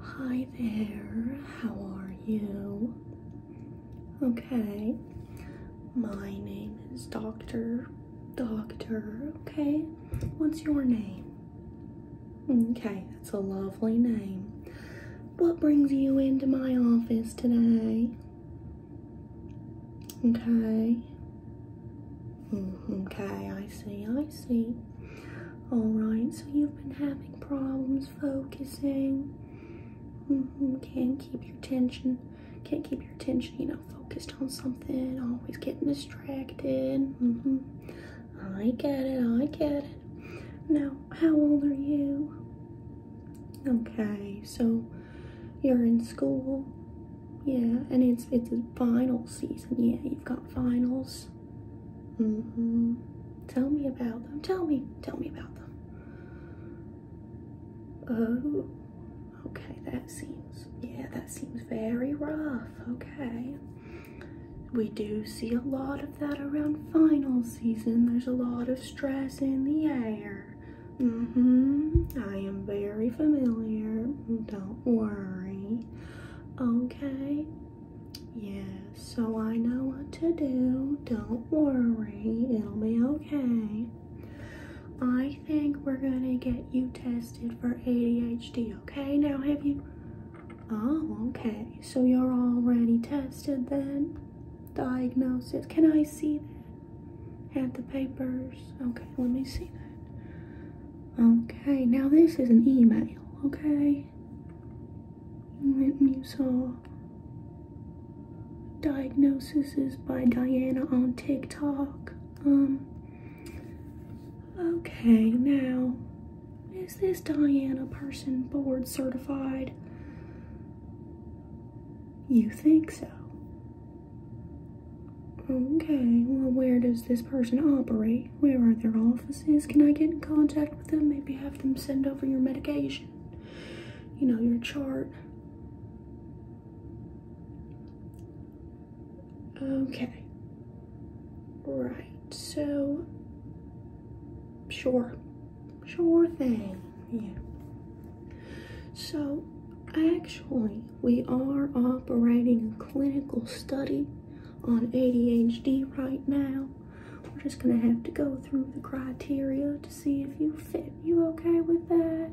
Hi there, how are you? Okay, my name is Doctor. Doctor, okay, what's your name? Okay, that's a lovely name. What brings you into my office today? Okay. Mm, okay, I see, I see. Alright, so you've been having problems focusing. Mm-hmm, can't keep your attention. Can't keep your attention, you know, focused on something. Always getting distracted. Mm-hmm. I get it, I get it. Now, how old are you? Okay, so you're in school. Yeah, and it's it's a final season. Yeah, you've got finals. Mm hmm Tell me about them. Tell me. Tell me about them. Oh, okay. That seems, yeah, that seems very rough. Okay. We do see a lot of that around final season. There's a lot of stress in the air. Mm hmm I am very familiar. Don't worry. Okay? Yeah, so I know what to do. Don't worry, it'll be okay. I think we're gonna get you tested for ADHD, okay? Now, have you? Oh, okay. So you're already tested then? Diagnosis. Can I see that? Have the papers? Okay, let me see that. Okay, now this is an email, okay? Let me saw diagnosis is by Diana on TikTok. Um Okay, now is this Diana person board certified? You think so? Okay, well, where does this person operate? Where are their offices? Can I get in contact with them? Maybe have them send over your medication, you know, your chart. Okay. Right, so, sure. Sure thing, yeah. So, I actually, we are operating a clinical study on ADHD right now. We're just gonna have to go through the criteria to see if you fit. You okay with that?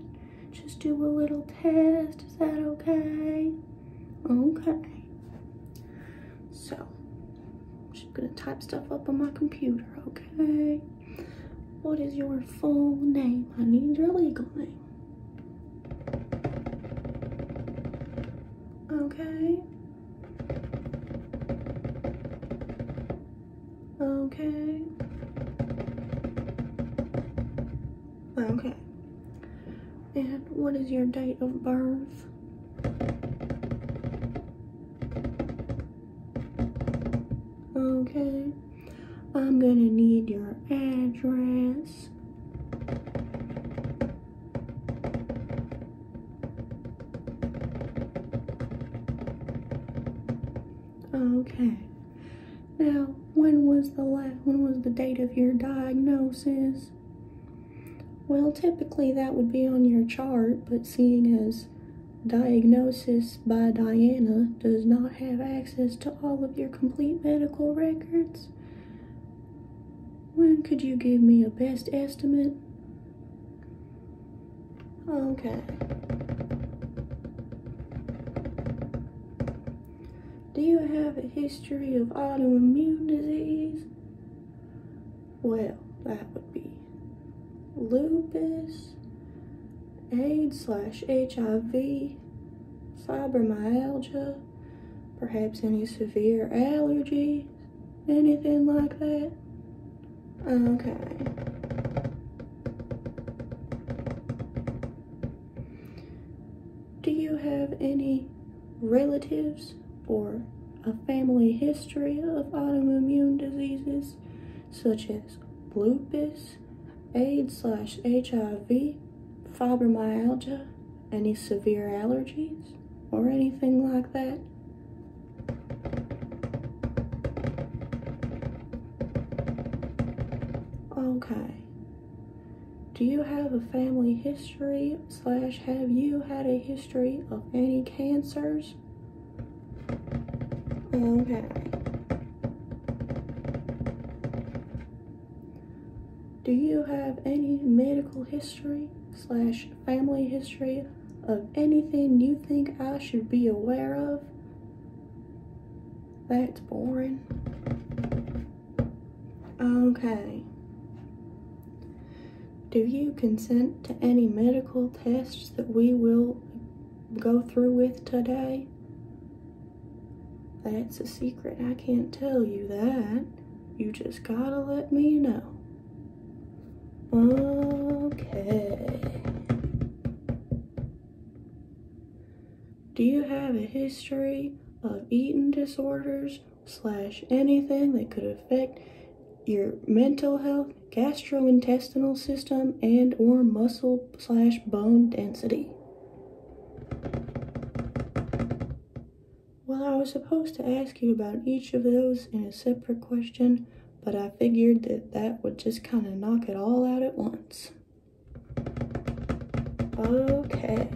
Just do a little test, is that okay? Okay. So, I'm just gonna type stuff up on my computer, okay? What is your full name? I need your legal name. Okay. Okay. Okay. And what is your date of birth? Okay. I'm gonna need your address. Okay. Now, when was the last, when was the date of your diagnosis? Well, typically that would be on your chart, but seeing as diagnosis by Diana does not have access to all of your complete medical records, when could you give me a best estimate? Okay. Do you have a history of autoimmune disease? Well, that would be lupus, AIDS slash HIV, fibromyalgia, perhaps any severe allergies, anything like that. Okay. Do you have any relatives or a family history of autoimmune diseases such as lupus, AIDS slash HIV, fibromyalgia, any severe allergies, or anything like that. Okay. Do you have a family history slash have you had a history of any cancers? Okay. Do you have any medical history slash family history of anything you think I should be aware of? That's boring. Okay. Do you consent to any medical tests that we will go through with today? That's a secret. I can't tell you that. You just gotta let me know. Okay. Do you have a history of eating disorders slash anything that could affect your mental health, gastrointestinal system, and or muscle slash bone density? Well, I was supposed to ask you about each of those in a separate question, but I figured that that would just kind of knock it all out at once. Okay.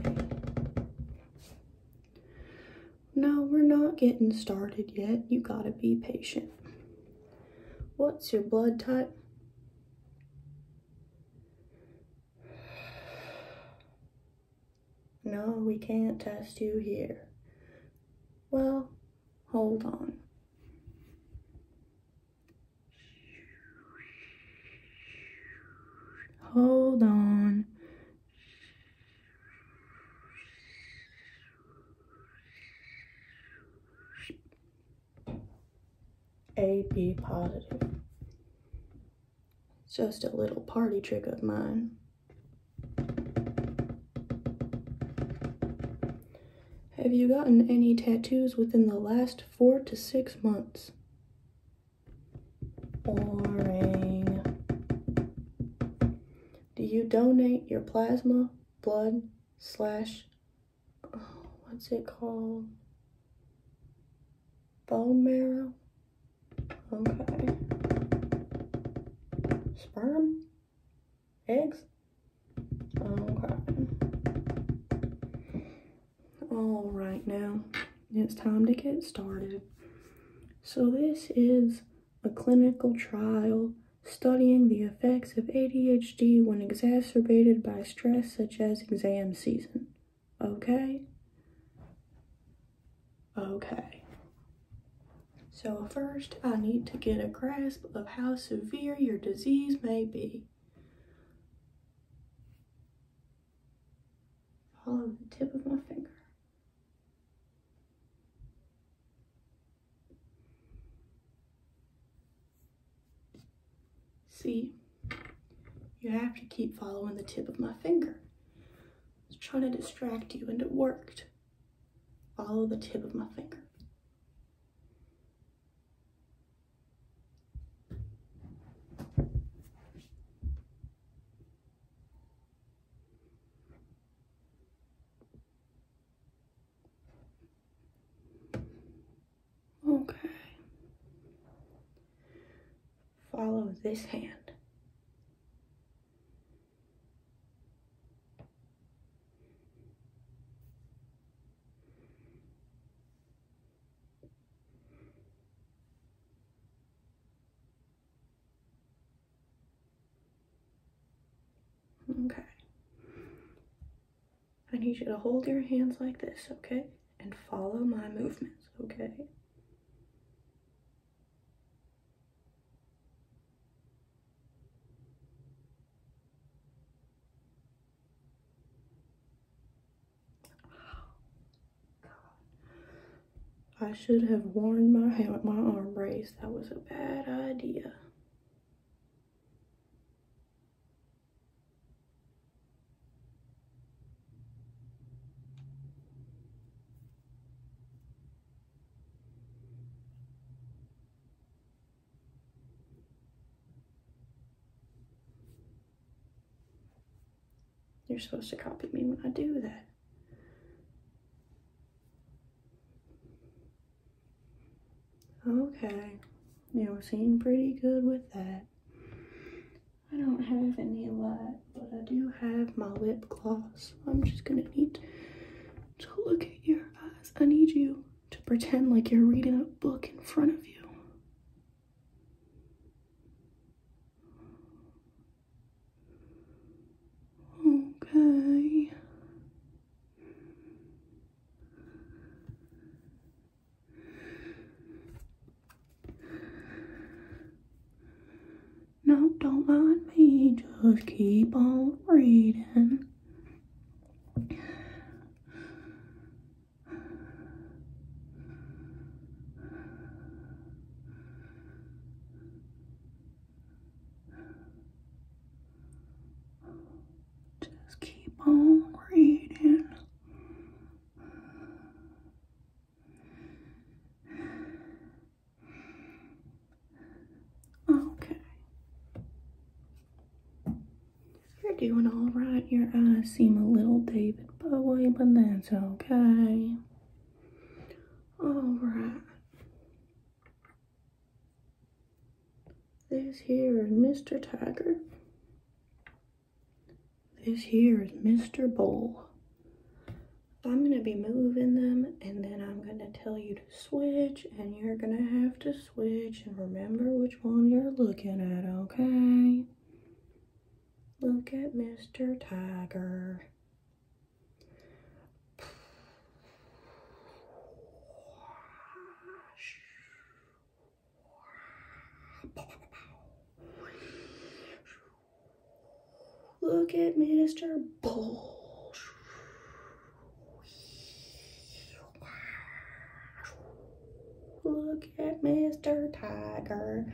No, we're not getting started yet. You gotta be patient. What's your blood type? No, we can't test you here. Well, hold on. Hold on. AB positive. Just a little party trick of mine. Have you gotten any tattoos within the last four to six months? Boring. Do you donate your plasma, blood, slash what's it called? Bone marrow? Okay. Sperm? Eggs? Okay. All right, now it's time to get started. So this is a clinical trial studying the effects of ADHD when exacerbated by stress such as exam season. Okay? Okay. So first, I need to get a grasp of how severe your disease may be. Follow the tip of my finger. See, you have to keep following the tip of my finger. I was trying to distract you and it worked. Follow the tip of my finger. Okay. Follow this hand. Okay. I need you to hold your hands like this, okay? And follow my movements, okay? I should have worn my, hand, my arm brace. That was a bad idea. You're supposed to copy me when I do that. Okay, you seem pretty good with that. I don't have any light, but I do have my lip gloss. I'm just gonna need to look at your eyes. I need you to pretend like you're reading a book in front of you. Okay. No, don't mind me, just keep on reading. Just keep on reading. Okay. You're doing all right. Your eyes seem a little David Bowie, but that's okay. All right. This here is Mr. Tiger. This here is Mr. Bull. I'm going to be moving them and then I'm going to tell you to switch and you're going to have to switch and remember which one you're looking at, okay? Look at Mr. Tiger. Look at Mr. Bull. Look at Mr. Tiger.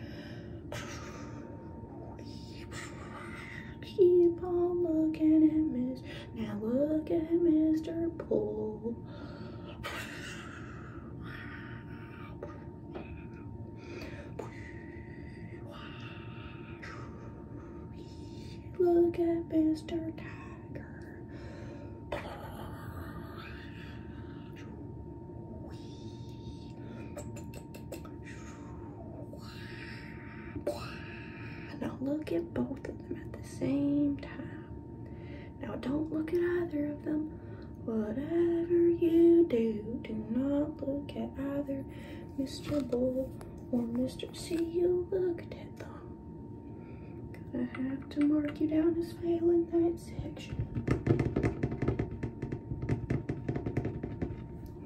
Keep on looking at Miss. Now look at Mr. Pool. Look at Mr. Tiger. Now look at both of them at the same time. Now don't look at either of them. Whatever you do, do not look at either Mr. Bull or Mr. C. You looked at them. Gonna have to mark you down as failing that section.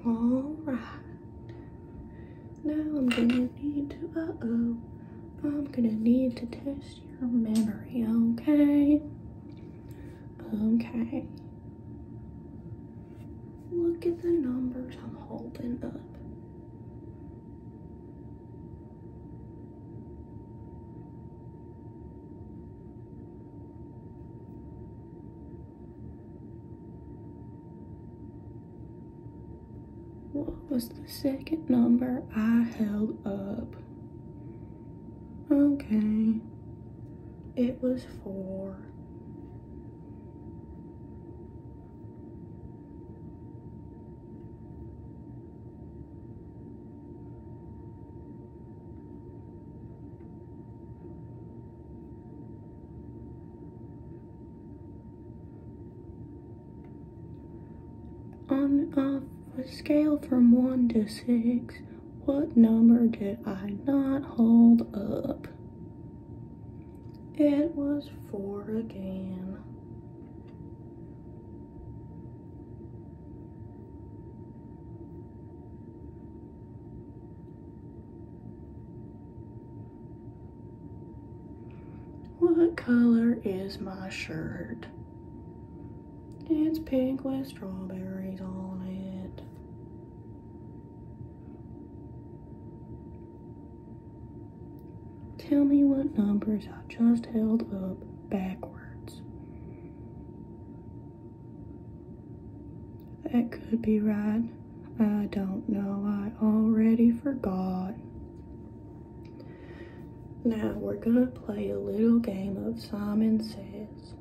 All right. Now I'm gonna need to, uh-oh, I'm gonna need to test your memory, okay? Okay. Look at the numbers I'm holding up. What was the second number I held up? Okay, it was four. On a scale from 1 to 6, what number did I not hold up? It was 4 again. What color is my shirt? It's pink with strawberries on it. Tell me what numbers I just held up backwards. That could be right. I don't know. I already forgot. Now we're gonna play a little game of Simon Says.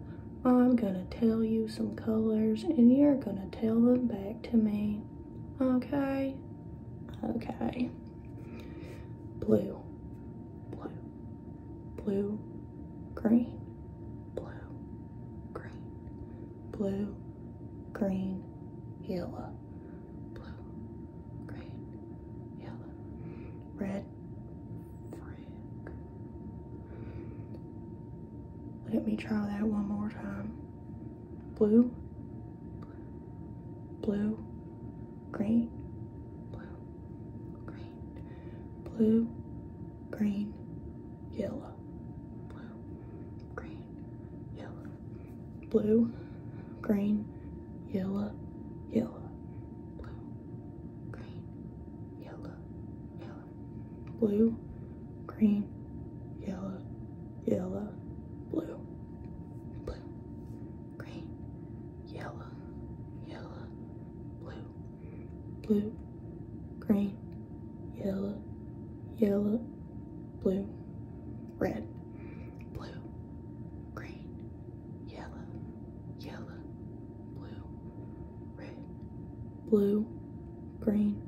I'm gonna tell you some colors and you're gonna tell them back to me. Okay? Okay. Blue. Blue. Blue. Green. Blue. Green blue, green, yellow, blue, green, yellow, red, frick. Let me try that one more time. Blue, blue, green, blue, green, blue, green, yellow, blue, green, yellow, blue, green, yellow, yellow, blue, green, yellow, yellow, blue, blue, green, yellow, yellow, blue blue, green, yellow, yellow, blue, red, blue, green, yellow, yellow, blue, red, blue, green,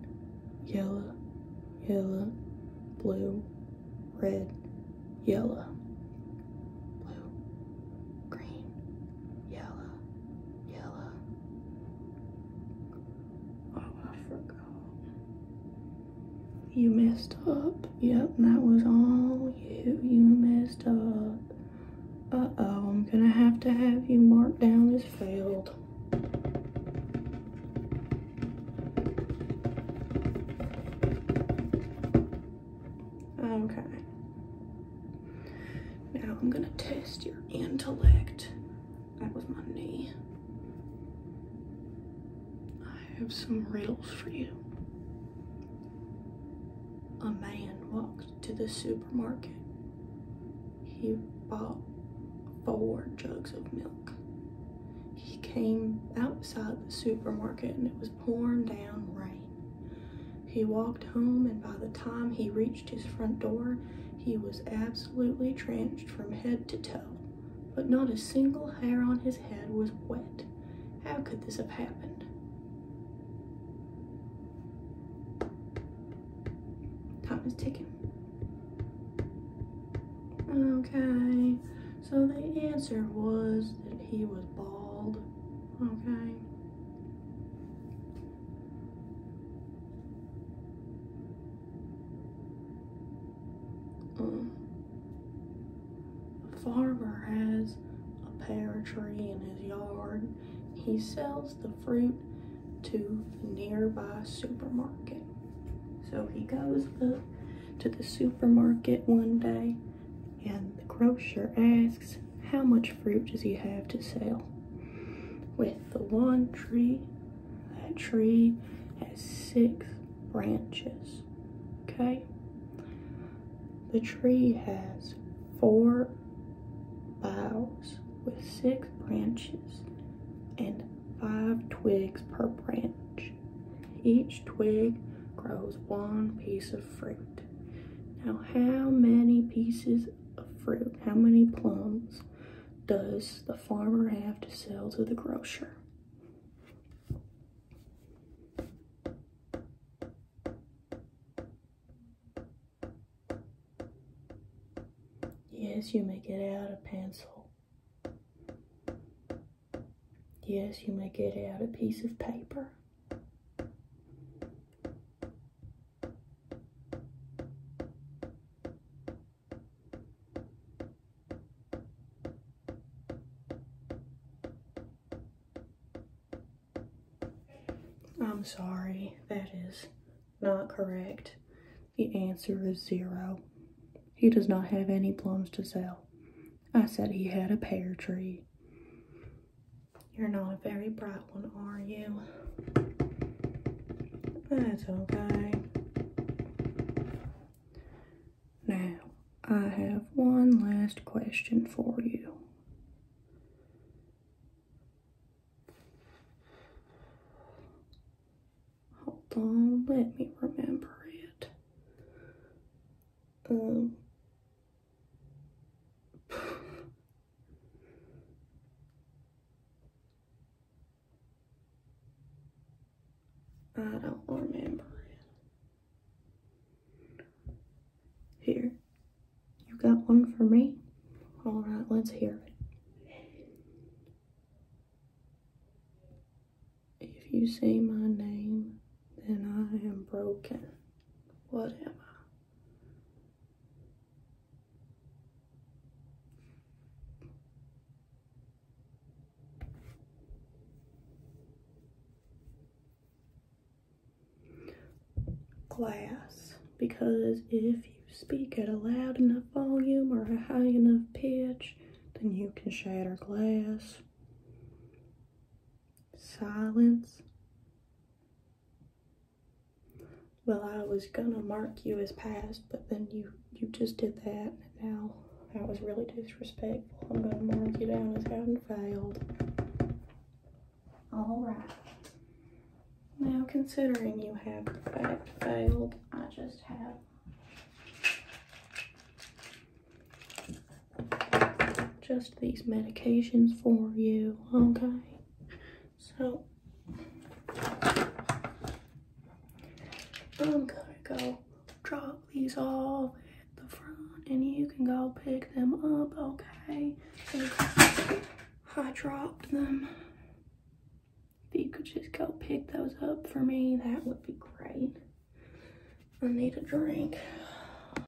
yellow, yellow, blue, red, yellow. Blue, green, yellow, yellow, Oh, I forgot. You messed up. Yep, that was all you. You messed up. Uh-oh, I'm gonna have to have you marked down as failed. Okay. Now I'm gonna test your intellect. That was my knee. I have some riddles for you. A man walked to the supermarket. He bought four jugs of milk. He came outside the supermarket and it was pouring down rain. He walked home, and by the time he reached his front door, he was absolutely drenched from head to toe, but not a single hair on his head was wet. How could this have happened? Time is ticking. Okay, so the answer was that he was bald. Okay. Um, farmer has a pear tree in his yard. He sells the fruit to the nearby supermarket. So he goes to the supermarket one day and the grocer asks how much fruit does he have to sell? With the one tree, that tree has six branches. Okay? The tree has four boughs with six branches and five twigs per branch. Each twig grows one piece of fruit. Now, how many pieces of fruit? How many plums does the farmer have to sell to the grocer? Yes, you may get out a pencil. Yes, you may get out a piece of paper. I'm sorry, that is not correct. The answer is zero. He does not have any plums to sell. I said he had a pear tree. You're not a very bright one, are you? That's okay. Now, I have one last question for you. Hold on, let me remember it. Um, I don't remember. Here, you got one for me? All right, let's hear it. If you say my name, then I am broken. What am I? Glass, because if you speak at a loud enough volume or a high enough pitch, then you can shatter glass. Silence well, I was gonna mark you as passed, but then you you just did that. Now that was really disrespectful. I'm gonna mark you down as having failed. All right. Now, considering you have failed, I just have just these medications for you, okay? So, I'm gonna go drop these off at the front and you can go pick them up, okay? I dropped them. If you could just go pick those up for me, that would be great. I need a drink.